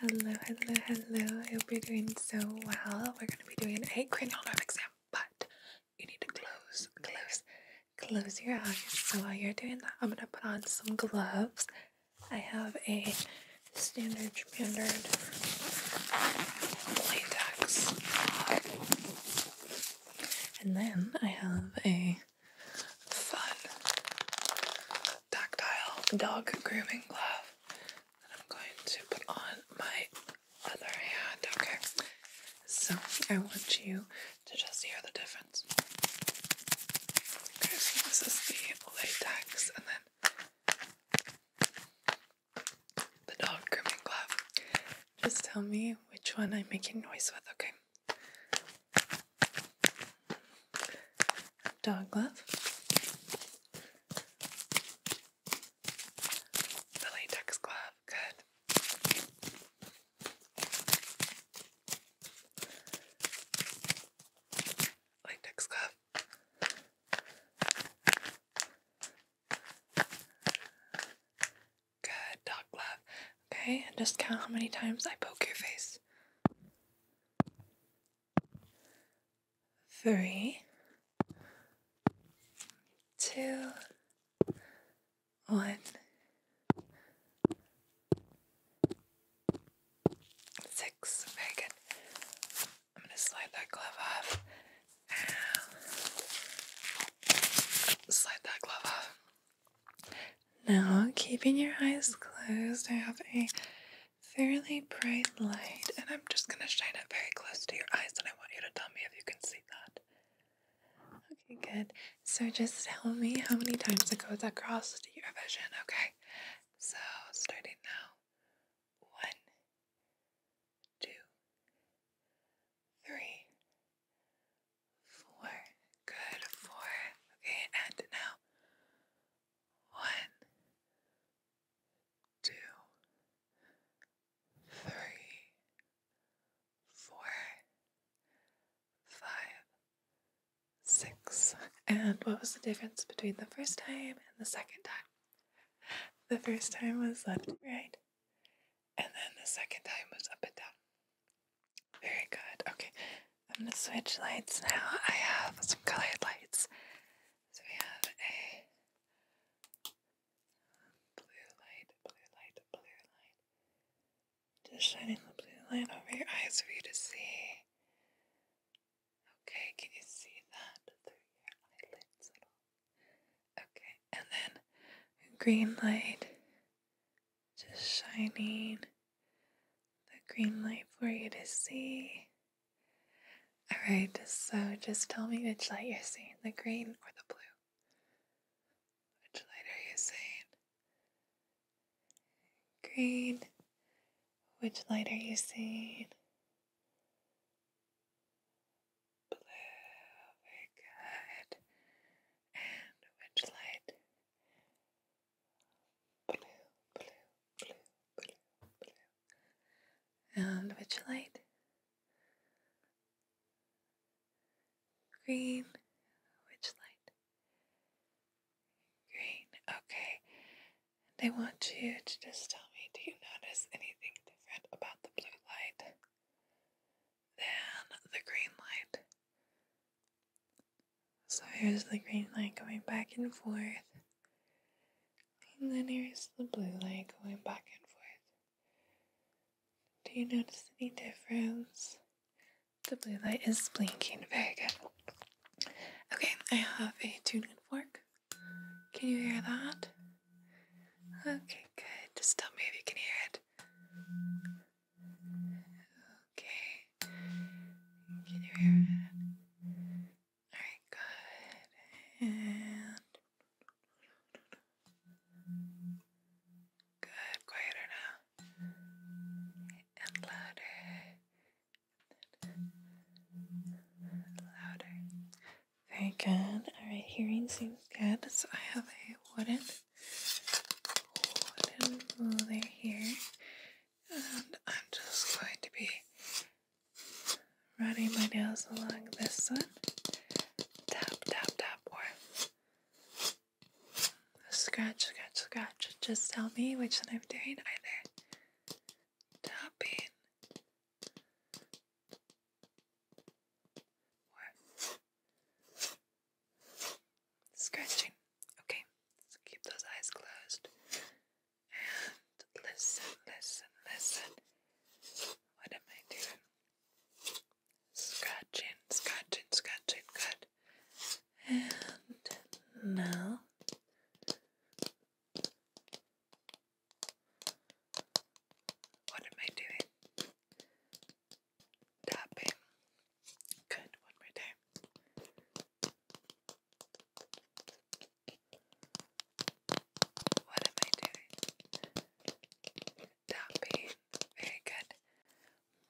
Hello, hello, hello. You'll be doing so well. We're going to be doing a cranial nerve exam, but you need to close, close, close your eyes. So while you're doing that, I'm going to put on some gloves. I have a standard, standard latex And then I have a fun tactile dog grooming glove I'm going to put on my other hand, okay? So I want you to just hear the difference. Okay, so this is the latex and then the dog grooming glove. Just tell me which one I'm making noise with, okay? dog glove, latex glove, good. Latex glove. Good dog glove. Okay, and just count how many times I poke your face three, two, one, six. Very good. I'm going to slide that glove off. slide that glove off. Now, keeping your eyes closed, I have a fairly bright light, and I'm just going to shine it very close to your eyes, and I want you to tell me if you can see that. Okay, good. So just tell me how many times it goes across your vision, okay? So, starting now. One, two, three, four. Good, four. Okay, and now one, two, three, four, five, six. And what was the difference between the first time and the second time? The first time was left and right, and then the second time was up and down. Very good. Okay, I'm gonna switch lights now. I have some colored lights. So we have a blue light, blue light, blue light. Just shining the blue light over your eyes for you to see. Okay, can you see that through your eyelids at all? Okay, and then green light just shining the green light for you to see. Alright, so just tell me which light you're seeing the green or the blue. Which light are you seeing? Green. Which light are you seeing? Blue. Very And which light blue, blue, blue, blue, blue. And which light? Green. Which light? Green. Okay. I want you to just tell me do you notice anything different about the blue light? then the green light. So here's the green light going back and forth. And then here's the blue light going back and forth. Do you notice any difference? The blue light is blinking. Very good. Okay, I have a tuning fork. Can you hear that? Okay, good. Just tell me if you can hear it. Okay. Can you hear that? Alright, good. And good. Quieter now. And louder. louder. Very good. Alright, hearing seems good. So I have a wooden wooden ruler here, and I'm just going to be running my nails along this one. Tap, tap, tap, or scratch, scratch, scratch. Just tell me which one I'm doing, either tapping more. Scratching. Okay, so keep those eyes closed. And listen, listen, listen. What am I doing? Scratching, scratching, scratching, good. And now. What am I doing? tapping. Good, What am I doing? Tapping. Very good.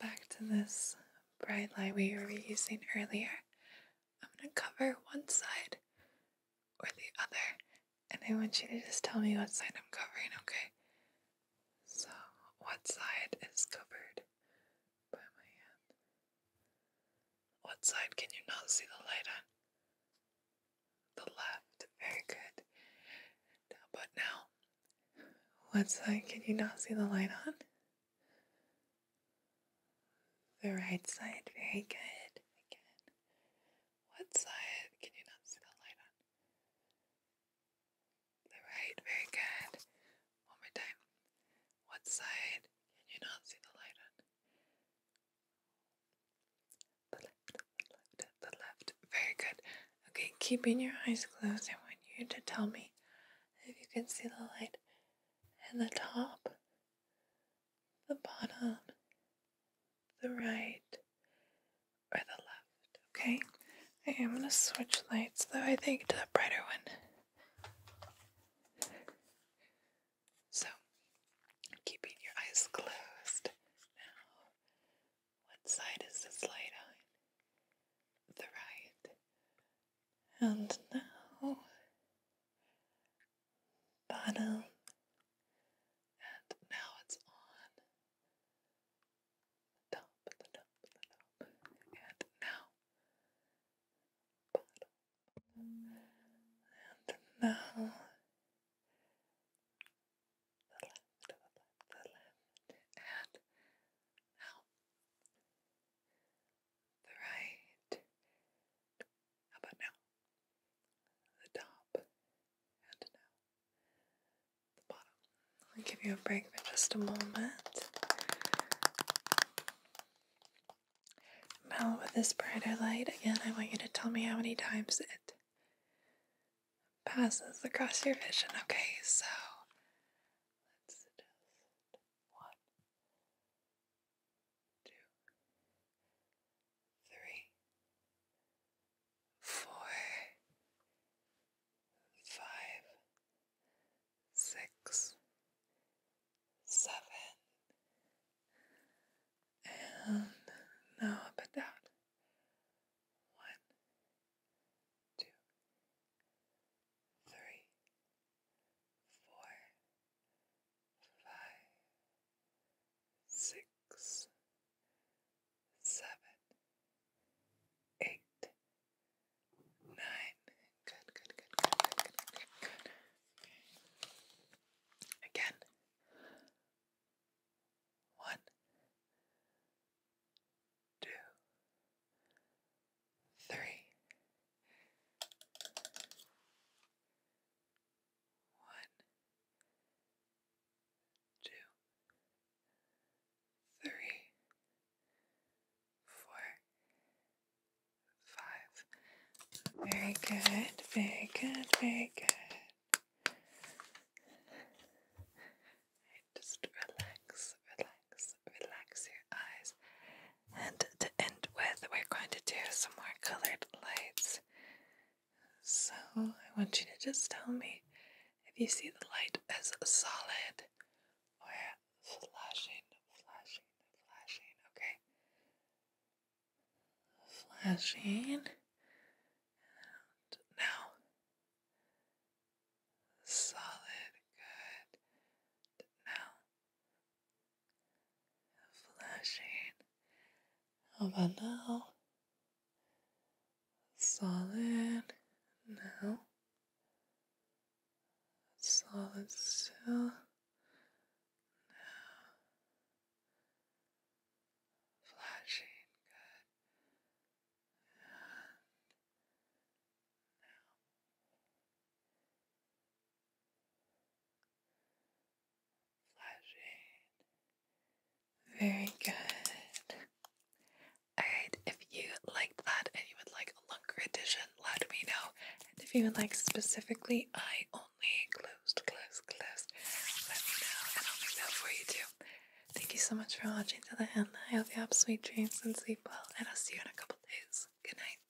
Back to this bright light we were using earlier. I'm going to cover one side or the other and I want you to just tell me what side I'm covering, okay? So, what side is covered by my hand? What side can you not see the light on? The left. Very good. Now, but now, what side can you not see the light on? The right side. Very good. Again. What side can you not see the light on? Alright, very good. One more time. What side can you not see the light on? The left, the left, the left. Very good. Okay, keeping your eyes closed, I want you to tell me if you can see the light in the top, the bottom, the right, or the left. Okay, I am going to switch lights though, I think, to the brighter one. So, keeping your eyes closed now, what side is this light on? The right. And now, bottom and now it's on the top, the top, the top, and now bottom, and now the left, the left, the left, and now the right. How about now? The top and now the bottom. I'll give you a break for just a moment. Now, with this brighter light, again, I want you to tell me how many times it passes across your vision. Okay, so let's just one, two, three, four, five, six, seven, and now up and down. One, two, three, four, five, six, seven, eight, nine. Good, good, good, good, good, good, good, Again. One, two, three, one, two, three, four, five. Very good, very good, very good. just relax, relax, relax your eyes. And to end with, we're going to do some more colored lights. So I want you to just tell me if you see the light as solid or flashing, flashing, flashing, okay? Flashing. now. Solid, good. Now, flashing. How now? Solid now. Solid still. Now. Flashing. Good. now. Very good. Alright, if you liked that and you would like a longer edition, let me know. And if you would like specifically, I only closed, closed, closed, let me know and I'll make that for you too. Thank you so much for watching to the end. I hope you have sweet dreams and sleep well, and I'll see you in a couple days. Good night.